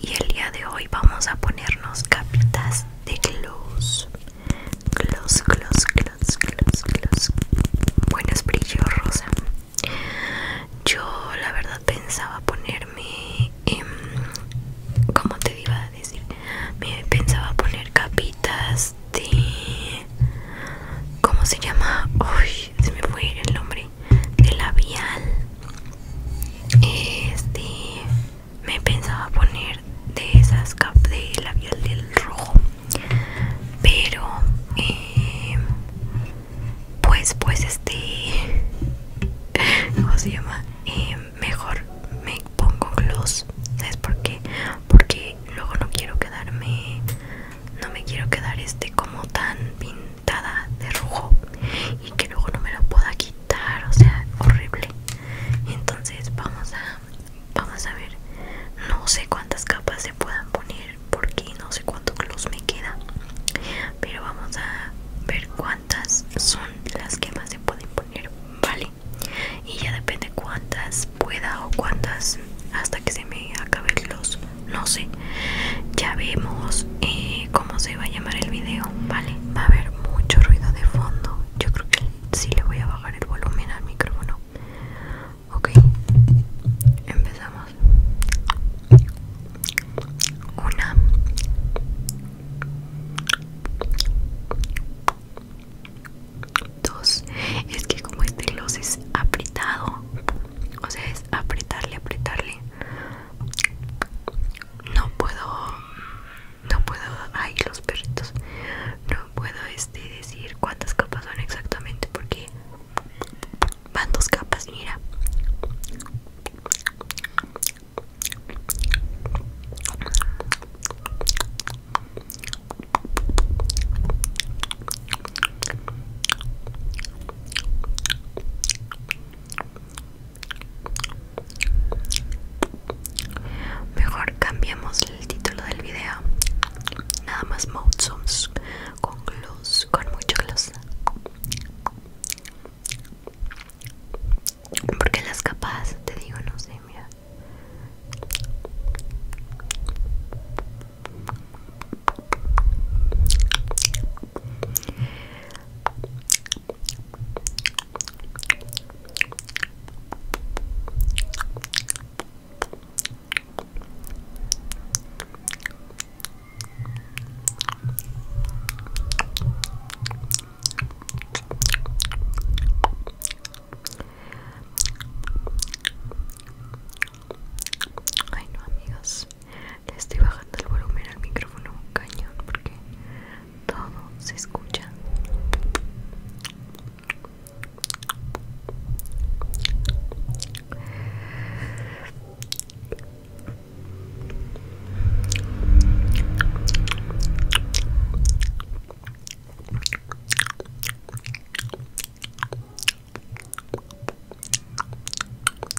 y el día de hoy vamos a ponernos capitas de gloss gloss gloss gloss gloss gloss Buenas brillos, rosa yo la verdad pensaba ponerme em, ¿Cómo te iba a decir pensaba poner capitas de cómo se llama uy se me fue el nombre de labial este me pensaba poner de esas cap de labial del rojo pero eh, pues pues este como se llama? Eh, mejor me pongo gloss ¿sabes por porque luego no quiero quedarme no me quiero quedar este como tan pintado de rojo y que luego no me lo pueda quitar, o sea, horrible. Entonces vamos a vamos a ver. No sé cuántas capas se puedan poner porque no sé cuánto gloss me queda. Pero vamos a ver cuántas son las que más se pueden poner, ¿vale? Y ya depende cuántas pueda o cuántas hasta que se me acabe el No sé, ya vemos eh, cómo se va a llamar el video vale va a haber mucho ruido de fondo yo creo que sí le voy a bajar el volumen al micrófono ok empezamos una dos es que como este gloss es apretado o sea es apretarle apretarle no puedo no puedo ay los perritos no puedo este decir cuántas capas son exactamente porque van dos capas mira Mejor cambiamos el título del video. Nada más Moutsums con gloss, con mucho gloss. Porque las capas, te digo, no sé, mira. Ay no amigos estoy bajando el volumen al micrófono cañón porque todo se escucha.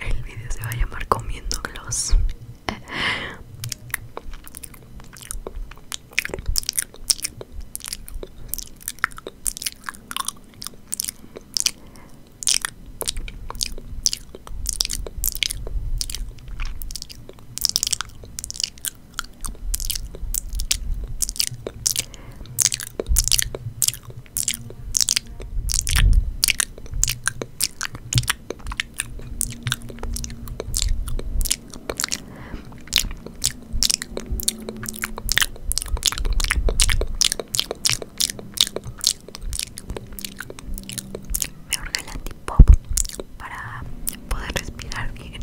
El video se va a llamar comiendo gloss. Me urge el antipop para poder respirar bien.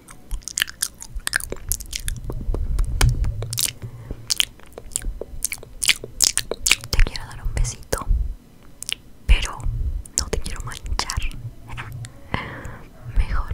Te quiero dar un besito, pero no te quiero manchar. Mejor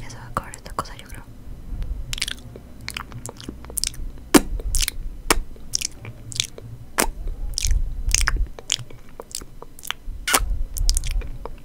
eso se va a cobrar esta cosa, yo creo.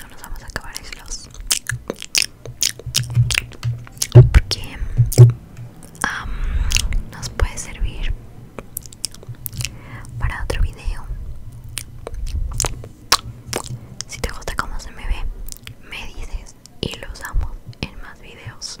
No nos vamos a acabar islos. Porque ah nos puede servir para otro video. Si te gusta cómo se me ve, me dices y lo usamos en más videos.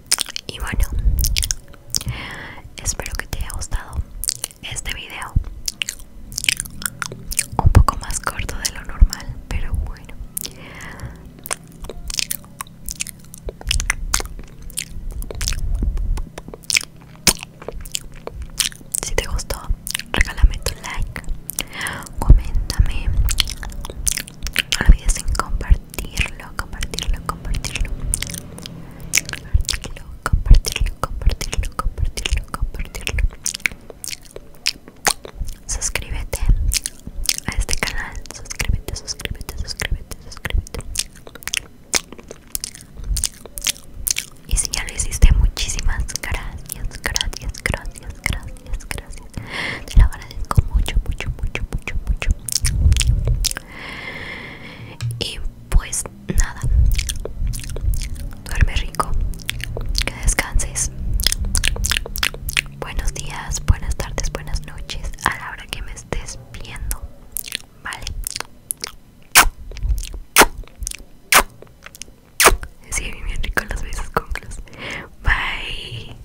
Y bueno, espero que te haya gustado este video. Un poco más corto de lo normal, pero bueno. Si te gustó, regálame tu like, coméntame, no olvides compartir compartirlo, compartirlo, compartirlo, compartirlo, compartirlo, compartirlo, compartirlo, Suscríbete a este canal, suscríbete, suscríbete, suscríbete, suscríbete. Y si ya lo hiciste, muchísimas gracias, gracias, gracias, gracias, gracias. Te lo agradezco mucho, mucho, mucho, mucho, mucho. Y pues nada, duerme rico, que descanses. Buenos días, buenas tardes, buenas noches, a la hora que me estés viendo, ¿vale? Sí, bien rico los besos cunclos. Bye.